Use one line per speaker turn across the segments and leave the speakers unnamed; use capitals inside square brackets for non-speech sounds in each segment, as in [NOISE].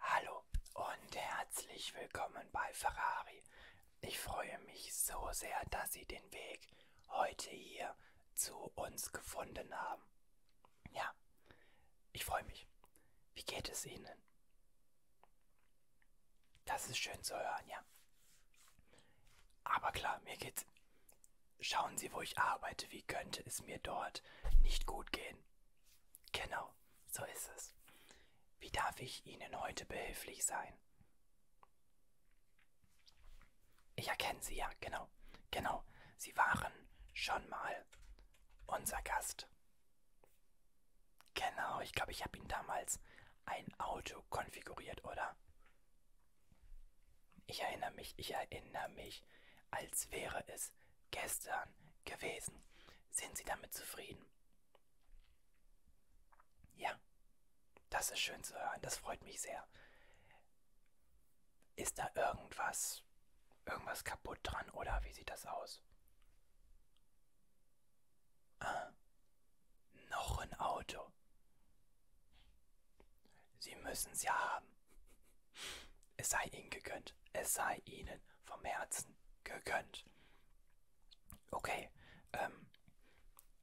Hallo und herzlich willkommen bei Ferrari. Ich freue mich so sehr, dass Sie den Weg heute hier zu uns gefunden haben. Ja, ich freue mich. Wie geht es Ihnen? Das ist schön zu hören, ja. Aber klar, mir geht's. Schauen Sie, wo ich arbeite. Wie könnte es mir dort nicht gut gehen? Genau, so ist es. Wie darf ich Ihnen heute behilflich sein? Ich erkenne Sie ja, genau, genau. Sie waren schon mal unser Gast. Genau, ich glaube, ich habe Ihnen damals ein Auto konfiguriert, oder? Ich erinnere mich, ich erinnere mich, als wäre es gestern gewesen. Sind Sie damit zufrieden? Ja, das ist schön zu hören, das freut mich sehr. Ist da irgendwas, irgendwas kaputt dran oder wie sieht das aus? Ah, noch ein Auto. Sie müssen's ja haben. Es sei ihnen gegönnt. Es sei ihnen vom Herzen gegönnt. Okay, ähm,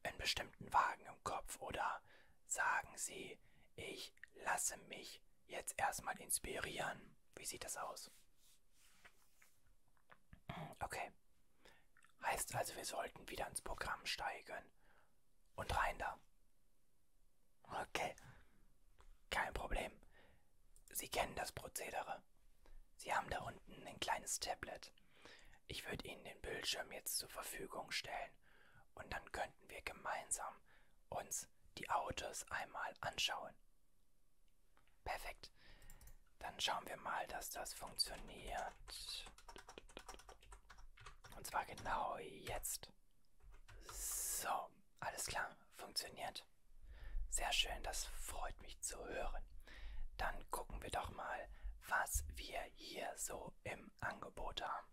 einen bestimmten Wagen im Kopf oder sagen Sie, ich lasse mich jetzt erstmal inspirieren. Wie sieht das aus? Okay. Heißt also, wir sollten wieder ins Programm steigen. Und rein da. Okay. Kein Problem. Sie kennen das Prozedere. Sie haben da unten ein kleines Tablet. Ich würde Ihnen den Bildschirm jetzt zur Verfügung stellen und dann könnten wir gemeinsam uns die Autos einmal anschauen. Perfekt. Dann schauen wir mal, dass das funktioniert. Und zwar genau jetzt. So alles klar, funktioniert. Sehr schön, das freut mich zu hören. Dann gucken wir doch mal, was wir hier so im Angebot haben.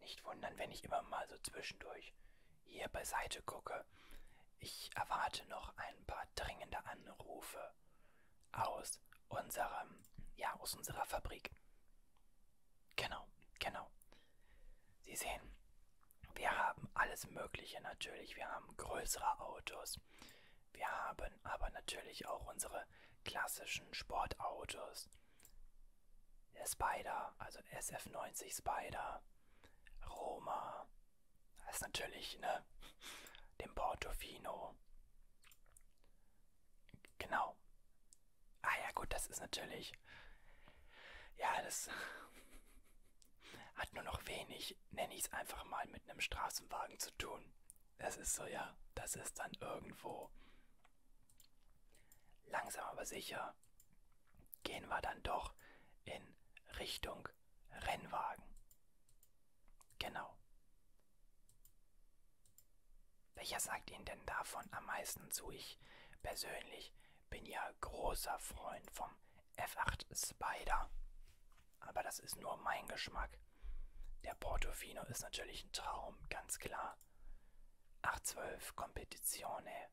Nicht wundern, wenn ich immer mal so zwischendurch hier beiseite gucke. Ich erwarte noch ein paar dringende Anrufe aus unserem, ja, aus unserer Fabrik. Genau, genau. Sie sehen, wir haben alles Mögliche natürlich. Wir haben größere Autos. Wir haben aber natürlich auch unsere klassischen Sportautos. Der Spider, also der SF90 Spider, Roma, das ist natürlich, ne? Den Portofino. Genau. Ah ja, gut, das ist natürlich. Ja, das hat nur noch wenig, nenne ich es einfach mal, mit einem Straßenwagen zu tun. Das ist so, ja, das ist dann irgendwo. Langsam aber sicher gehen wir dann doch in Richtung Rennwagen. Genau. Welcher sagt Ihnen denn davon am meisten zu? Ich persönlich bin ja großer Freund vom F8 Spider. Aber das ist nur mein Geschmack. Der Portofino ist natürlich ein Traum, ganz klar. 812 Competizione.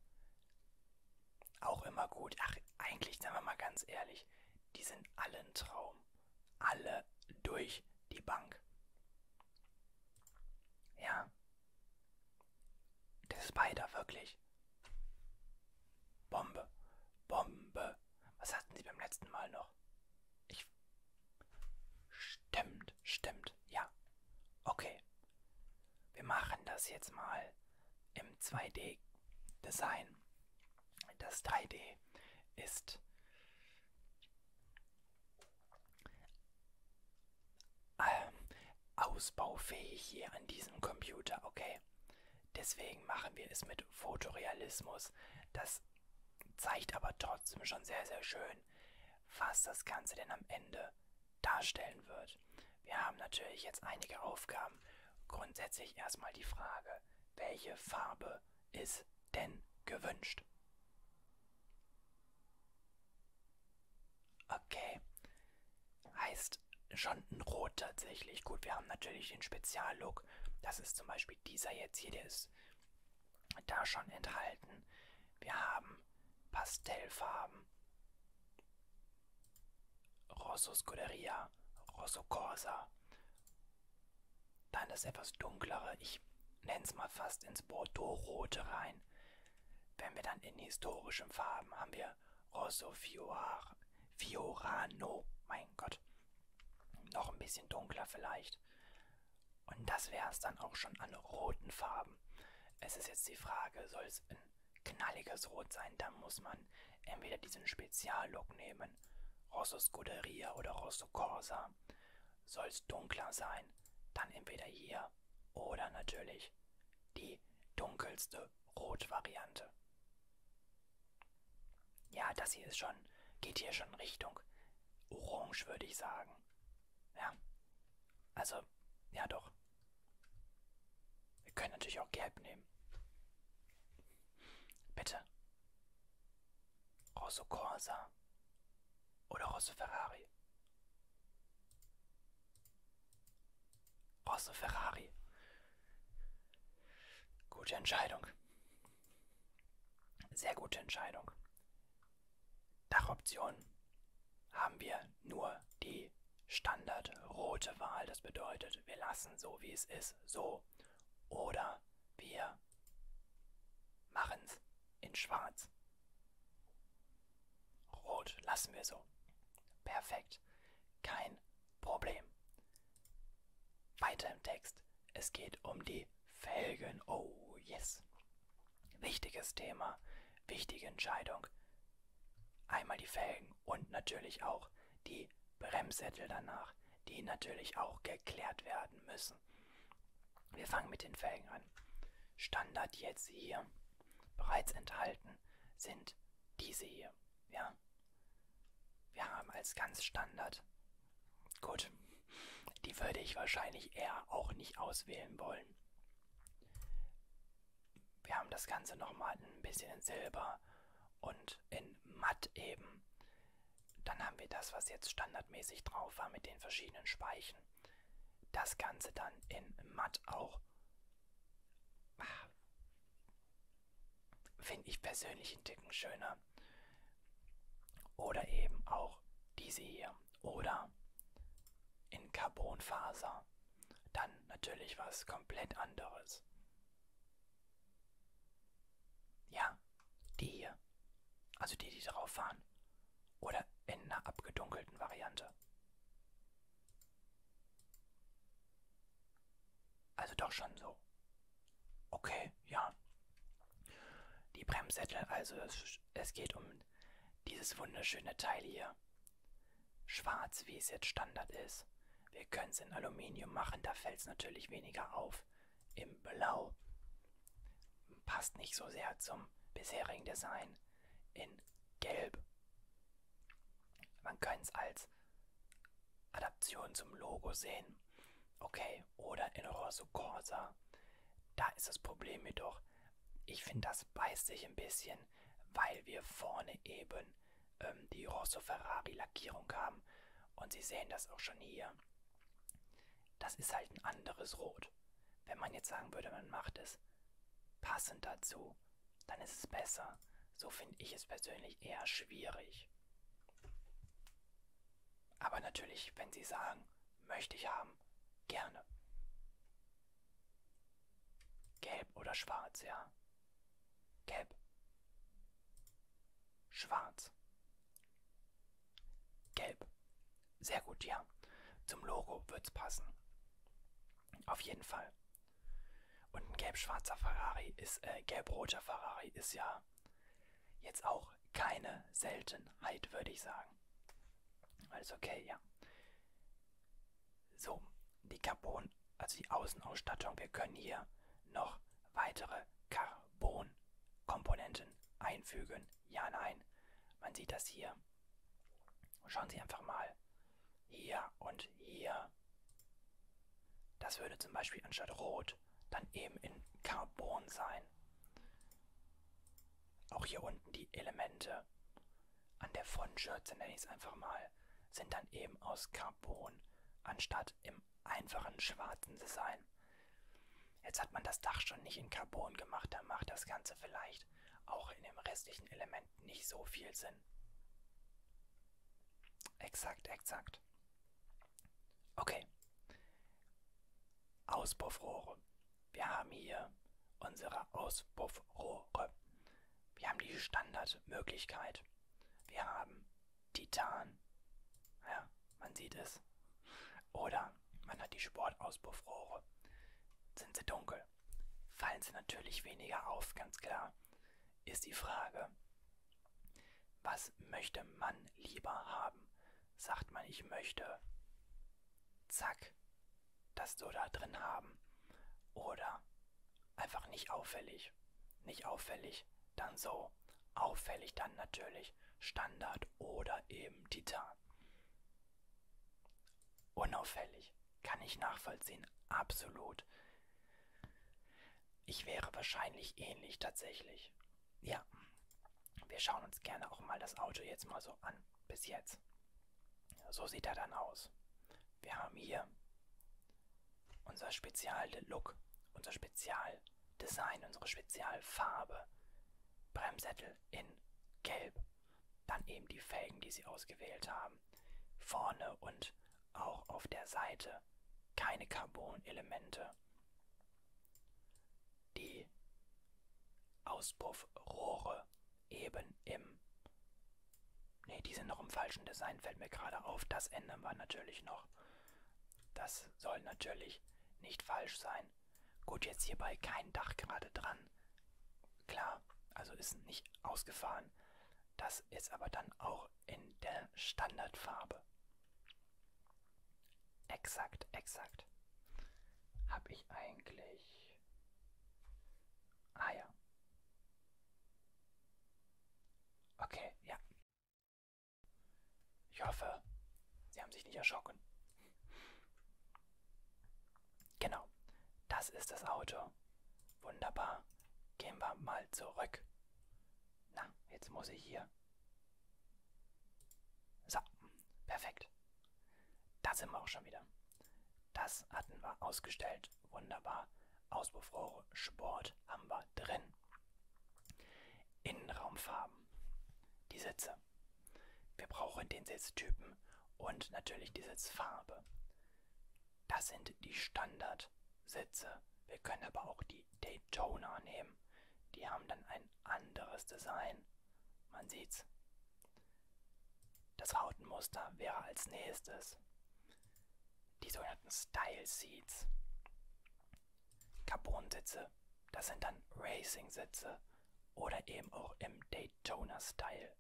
Auch immer gut. Ach, eigentlich, sagen wir mal ganz ehrlich, die sind alle ein Traum. Alle durch die Bank. Ja. Der Spider, wirklich. Bombe. Bombe. Was hatten sie beim letzten Mal noch? Ich. Stimmt, stimmt, ja. Okay. Wir machen das jetzt mal im 2D-Design. Das 3D ist äh, ausbaufähig hier an diesem Computer, okay? Deswegen machen wir es mit Fotorealismus. Das zeigt aber trotzdem schon sehr, sehr schön, was das Ganze denn am Ende darstellen wird. Wir haben natürlich jetzt einige Aufgaben. Grundsätzlich erstmal die Frage, welche Farbe ist denn gewünscht? Okay. Heißt schon ein Rot tatsächlich. Gut, wir haben natürlich den Speziallook. Das ist zum Beispiel dieser jetzt hier, der ist da schon enthalten. Wir haben Pastellfarben. Rosso Scuderia, Rosso Corsa. Dann das etwas dunklere, ich nenne es mal fast ins Bordeaux-Rote rein. Wenn wir dann in historischen Farben haben wir Rosso oh, Fior, Fiorano, mein Gott. Noch ein bisschen dunkler vielleicht. Und das wäre es dann auch schon an roten Farben. Es ist jetzt die Frage, soll es ein knalliges Rot sein, dann muss man entweder diesen Speziallook nehmen, Rosso Scuderia oder Rosso Corsa. Soll es dunkler sein, dann entweder hier oder natürlich die dunkelste Rot-Variante. Ja, das hier ist schon, geht hier schon Richtung Orange, würde ich sagen. Ja, also, ja doch. Wir können natürlich auch Gelb nehmen. Bitte. Rosso Corsa oder Rosso Ferrari. Brauchst du Ferrari? Gute Entscheidung. Sehr gute Entscheidung. Dachoption haben wir nur die standardrote Wahl. Das bedeutet, wir lassen so wie es ist, so. Oder wir machen es in schwarz. Rot lassen wir so. Perfekt. Kein Problem. Weiter im Text. Es geht um die Felgen. Oh, yes. Wichtiges Thema, wichtige Entscheidung. Einmal die Felgen und natürlich auch die Bremssättel danach, die natürlich auch geklärt werden müssen. Wir fangen mit den Felgen an. Standard jetzt hier. Bereits enthalten sind diese hier. Ja. Wir haben als ganz Standard. Gut. Die würde ich wahrscheinlich eher auch nicht auswählen wollen. Wir haben das Ganze nochmal ein bisschen in Silber und in Matt eben. Dann haben wir das, was jetzt standardmäßig drauf war mit den verschiedenen Speichen. Das Ganze dann in Matt auch Finde ich persönlich einen Ticken schöner. Oder eben auch diese hier. Oder in Carbonfaser. Dann natürlich was komplett anderes. Ja, die hier. Also die, die drauf fahren. Oder in einer abgedunkelten Variante. Also doch schon so. Okay, ja. Die Bremssättel, also es, es geht um dieses wunderschöne Teil hier. Schwarz, wie es jetzt Standard ist. Wir können es in Aluminium machen, da fällt es natürlich weniger auf. Im Blau passt nicht so sehr zum bisherigen Design. In Gelb man kann es als Adaption zum Logo sehen. Okay, oder in Rosso Corsa. Da ist das Problem jedoch. Ich finde, das beißt sich ein bisschen, weil wir vorne eben ähm, die Rosso Ferrari Lackierung haben. Und Sie sehen das auch schon hier. Das ist halt ein anderes Rot. Wenn man jetzt sagen würde, man macht es passend dazu, dann ist es besser. So finde ich es persönlich eher schwierig. Aber natürlich, wenn Sie sagen, möchte ich haben, gerne. Gelb oder schwarz, ja. Gelb. Schwarz. Gelb. Sehr gut, ja. Zum Logo wird's passen. Auf jeden Fall. Und ein gelb-schwarzer Ferrari ist, äh, gelb-roter Ferrari ist ja jetzt auch keine Seltenheit, würde ich sagen. Alles okay, ja. So, die Carbon, also die Außenausstattung, wir können hier noch weitere Carbon-Komponenten einfügen. Ja, nein. Man sieht das hier. Schauen Sie einfach mal hier und hier. Das würde zum Beispiel anstatt rot dann eben in Carbon sein. Auch hier unten die Elemente an der Fontschürze, nenne ich es einfach mal, sind dann eben aus Carbon anstatt im einfachen schwarzen Design. Jetzt hat man das Dach schon nicht in Carbon gemacht, dann macht das Ganze vielleicht auch in dem restlichen Element erscheint halt nicht so viel Sinn. Exakt, exakt. Okay. Auspuffrohre. Wir haben hier unsere Auspuffrohre. Wir haben die Standardmöglichkeit. Wir haben Titan. Ja, man sieht es. Oder man hat die Sportauspuffrohre. Sind sie dunkel? soll, fallen sie natürlich weniger auf, ganz klar. Ist die Frage, was möchte man lieber haben? Sagt man, ich möchte, zack, das so da drin haben. Oder einfach nicht auffällig. Nicht auffällig, dann so. Auffällig dann natürlich Standard oder eben Titan. Unauffällig. Kann ich nachvollziehen, absolut. Ich wäre wahrscheinlich ähnlich tatsächlich. Ja, wir schauen uns gerne auch mal das Auto jetzt mal so an. Bis jetzt. So sieht er dann aus. Wir haben hier unser Spezial-Look, unser Spezial-Design, unsere Spezialfarbe. Bremssättel in Gelb. Dann eben die Felgen, die sie ausgewählt haben. Vorne und auch auf der Seite keine Carbon-Elemente. Die Auspuffrohre eben im... Ne, die sind noch im falschen Design, fällt mir gerade auf. Das ändern wir natürlich noch. Das soll natürlich nicht falsch sein. Gut, jetzt hierbei kein Dach gerade dran. Klar, also ist nicht ausgefahren. Das ist aber dann auch in der Standardfarbe. Exakt, exakt. Habe ich eigentlich... Ah ja. Okay, ja. Ich hoffe, Sie haben sich nicht erschrocken. Genau, das ist das Auto. Wunderbar. Gehen wir mal zurück. Na, jetzt muss ich hier. So, perfekt. Da sind wir auch schon wieder. Das hatten wir ausgestellt. Wunderbar. Auspuffrohre, Sport haben wir drin. Innenraumfarben. Die Sitze. Wir brauchen den Sitztypen und natürlich die Sitzfarbe. Das sind die Standardsätze. Wir können aber auch die Daytona nehmen. Die haben dann ein anderes Design. Man sieht's. Das Rautenmuster wäre als nächstes. Die sogenannten Style Seats. Carbon-Sitze. Das sind dann Racing-Sitze. Oder eben auch im Daytona-Style.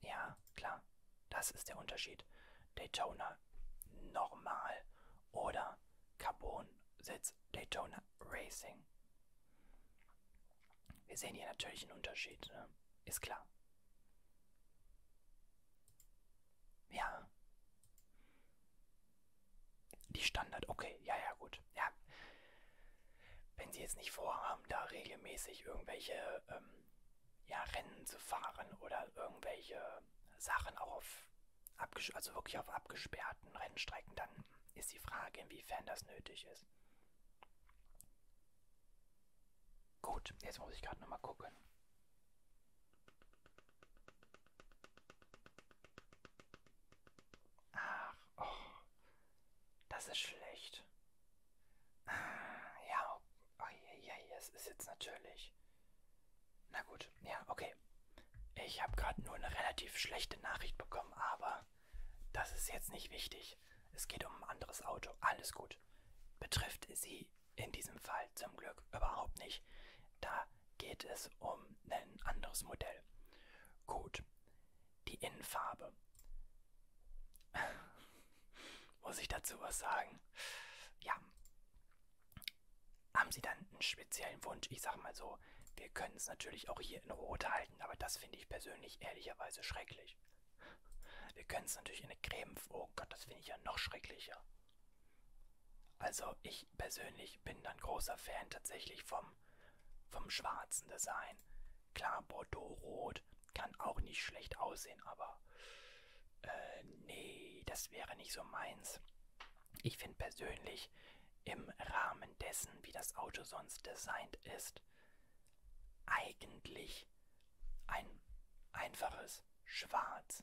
Ja, klar. Das ist der Unterschied. Daytona normal oder Carbon-Sitz Daytona Racing. Wir sehen hier natürlich einen Unterschied, ne? ist klar. Ja. Die Standard, okay, ja, ja, gut. Ja wenn sie jetzt nicht vorhaben, da regelmäßig irgendwelche ähm, ja, Rennen zu fahren oder irgendwelche Sachen auch auf, also wirklich auf abgesperrten Rennstrecken, dann ist die Frage, inwiefern das nötig ist. Gut, jetzt muss ich gerade nochmal gucken. Ach, oh, das ist schlecht. Ja, oh, ja, ja, es ist jetzt natürlich. Na gut, ja, okay. Ich habe gerade nur eine relativ schlechte Nachricht bekommen, aber das ist jetzt nicht wichtig. Es geht um ein anderes Auto. Alles gut. Betrifft sie in diesem Fall zum Glück überhaupt nicht. Da geht es um ein anderes Modell. Gut. Die Innenfarbe. [SIGHS] Muss ich dazu was sagen? Ja. Haben Sie dann einen speziellen Wunsch? Ich sag mal so, wir können es natürlich auch hier in Rot halten, aber das finde ich persönlich ehrlicherweise schrecklich. Wir können es natürlich in eine Creme. Oh Gott, das finde ich ja noch schrecklicher. Also ich persönlich bin dann großer Fan tatsächlich vom, vom schwarzen Design. Klar, Bordeaux-Rot kann auch nicht schlecht aussehen, aber äh, nee, das wäre nicht so meins. Ich finde persönlich, im Rahmen dessen, wie das Auto sonst designt ist, eigentlich ein einfaches Schwarz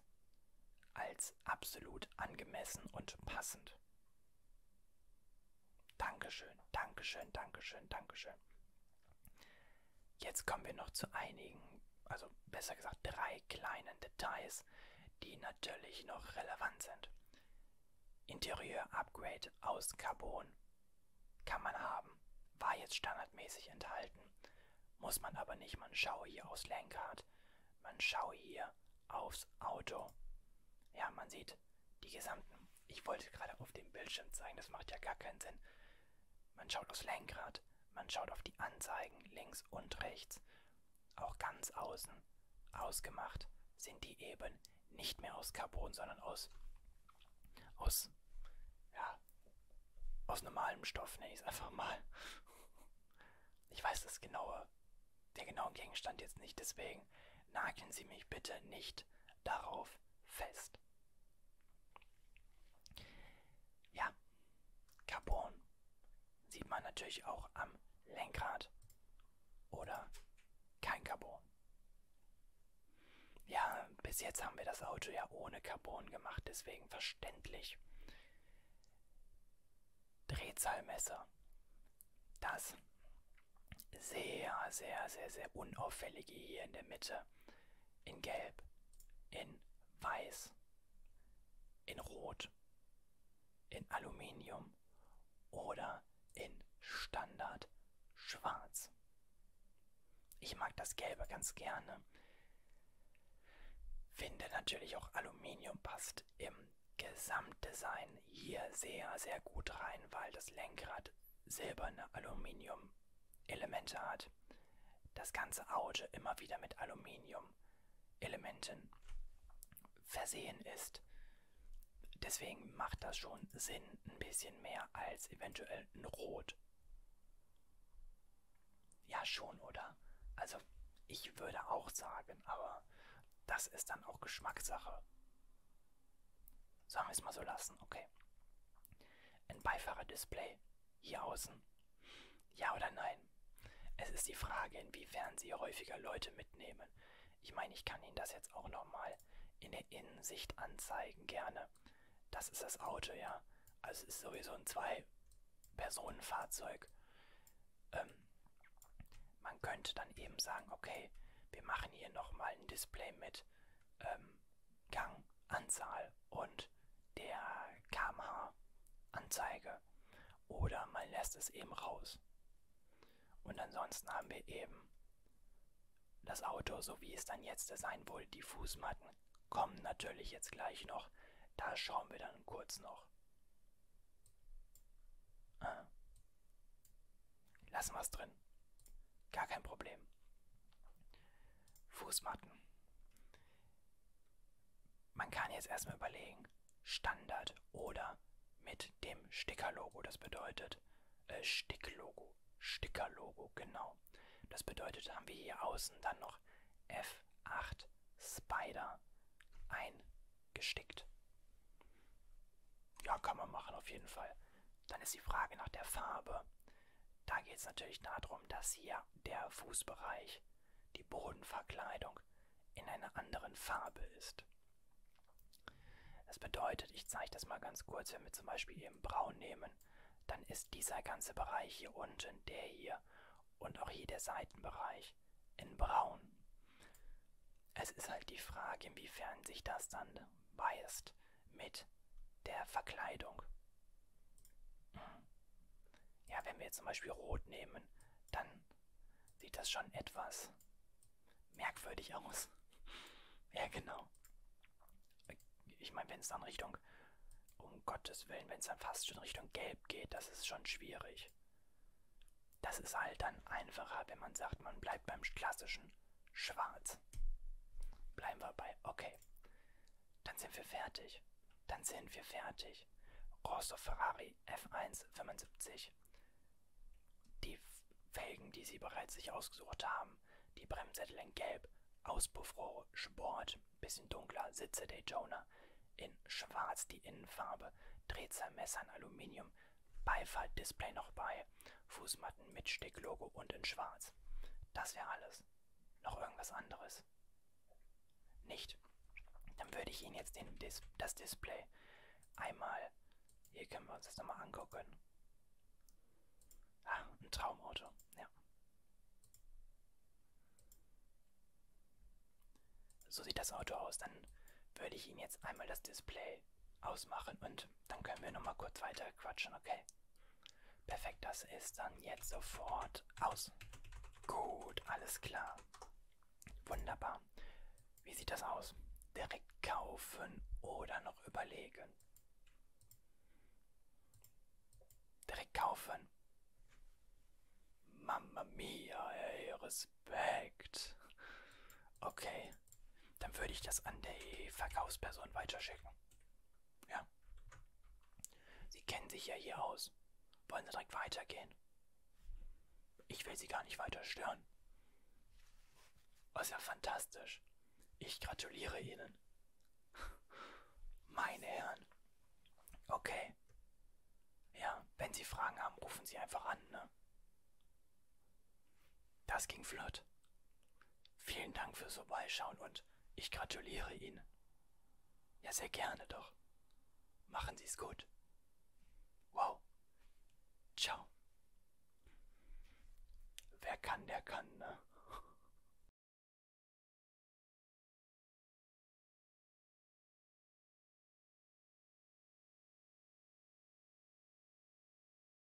als absolut angemessen und passend. Dankeschön, Dankeschön, Dankeschön, Dankeschön. Jetzt kommen wir noch zu einigen, also besser gesagt drei kleinen Details, die natürlich noch relevant sind. Interieur-Upgrade aus Carbon kann man haben, war jetzt standardmäßig enthalten, muss man aber nicht. Man schaue hier aufs Lenkrad, man schaue hier aufs Auto. Ja, man sieht die gesamten ich wollte gerade auf dem Bildschirm zeigen, das macht ja gar keinen Sinn. Man schaut aufs Lenkrad, man schaut auf die Anzeigen links und rechts. Auch ganz außen, ausgemacht, sind die eben nicht mehr aus Carbon, sondern aus, aus, ja, aus normalem Stoff, nenne ich es einfach mal. Ich weiß das genaue, den genauen Gegenstand jetzt nicht, deswegen nageln Sie mich bitte nicht darauf fest. Ja, Carbon sieht man natürlich auch am Lenkrad oder kein Carbon. Ja, bis jetzt haben wir das Auto ja ohne Carbon gemacht, deswegen verständlich. Drehzahlmesser. Das sehr, sehr, sehr, sehr unauffällige hier in der Mitte, in Gelb, in Weiß, in Rot, in Aluminium oder in Standard Schwarz. Ich mag das Gelbe ganz gerne. Finde natürlich auch Aluminium passt im Gesamtdesign hier sehr, sehr gut rein, weil das Lenkrad silberne Aluminium-Elemente hat. Das ganze Auge immer wieder mit Aluminium-Elementen versehen ist. Deswegen macht das schon Sinn, ein bisschen mehr als eventuell ein Rot. Ja, schon, oder? Also, ich würde auch sagen, aber das ist dann auch Geschmackssache. Sollen wir es mal so lassen, okay. Ein Beifahrerdisplay hier außen. Ja oder nein? Es ist die Frage, inwiefern sie häufiger Leute mitnehmen. Ich meine, ich kann Ihnen das jetzt auch nochmal in der Innensicht anzeigen, gerne. Das ist das Auto, ja. Also es ist sowieso ein Zwei-Personen-Fahrzeug. Ähm, man könnte dann eben sagen, okay, wir machen hier nochmal ein Display mit ähm, Ganganzahl und der kmh-Anzeige oder man lässt es eben raus. Und ansonsten haben wir eben das Auto, so wie es dann jetzt sein wohl, die Fußmatten kommen natürlich jetzt gleich noch. Da schauen wir dann kurz noch. Ah. Lassen wir es drin. Gar kein Problem. Fußmatten. Man kann jetzt erstmal überlegen, Standard oder mit dem Stickerlogo. Das bedeutet, äh, Sticklogo, Stickerlogo, genau. Das bedeutet, haben wir hier außen dann noch F8 Spider eingestickt. Ja, kann man machen auf jeden Fall. Dann ist die Frage nach der Farbe. Da geht es natürlich darum, dass hier der Fußbereich, die Bodenverkleidung in einer anderen Farbe ist. Das bedeutet, ich zeige das mal ganz kurz, wenn wir zum Beispiel eben Braun nehmen, dann ist dieser ganze Bereich hier unten, der hier und auch hier der Seitenbereich in Braun. Es ist halt die Frage, inwiefern sich das dann beißt mit der Verkleidung. Ja, wenn wir jetzt zum Beispiel Rot nehmen, dann sieht das schon etwas merkwürdig aus. [LAUGHS] Ja, genau. Ich meine, wenn es dann Richtung, um Gottes Willen, wenn es dann fast schon Richtung Gelb geht, das ist schon schwierig. Das ist halt dann einfacher, wenn man sagt, man bleibt beim Klassischen schwarz. Bleiben wir bei okay. Dann sind wir fertig. Dann sind wir fertig. Rosso Ferrari F1 75. Die Felgen, die sie bereits sich ausgesucht haben. Die Bremssättel in Gelb. Auspuffrohre Sport. Bisschen dunkler. Sitze Daytona. In Schwarz die Innenfarbe. Drehzahlmesser in Aluminium. Beifahrtdisplay noch bei. Fußmatten mit Sticklogo und in schwarz. Das wäre alles. Noch irgendwas anderes? Nicht. Dann würde ich Ihnen jetzt den Dis das Display einmal... Hier können wir uns das nochmal angucken. Ah, ein Traumauto. Ja. So sieht das Auto aus. Dann würde ich Ihnen jetzt einmal das Display ausmachen und dann können wir nochmal kurz weiter quatschen, okay? Perfekt, das ist dann jetzt sofort aus. Gut, alles klar. Wunderbar. Wie sieht das aus? Direkt kaufen oder noch überlegen? Direkt kaufen. Mamma mia, ey, Respekt. Okay, okay, dann würde ich das an die Verkaufsperson weiterschicken. Ja. Sie kennen sich ja hier aus. Wollen Sie direkt weitergehen? Ich will Sie gar nicht weiter stören. Das ist ja fantastisch. Ich gratuliere Ihnen. Meine Herren. Okay. Ja, wenn Sie Fragen haben, rufen Sie einfach an, ne? Das ging flott. Vielen Dank fürs Vorbeischauen und ich gratuliere Ihnen. Ja, sehr gerne doch. Machen Sie es gut. Wow. Ciao. Wer kann, der kann, ne?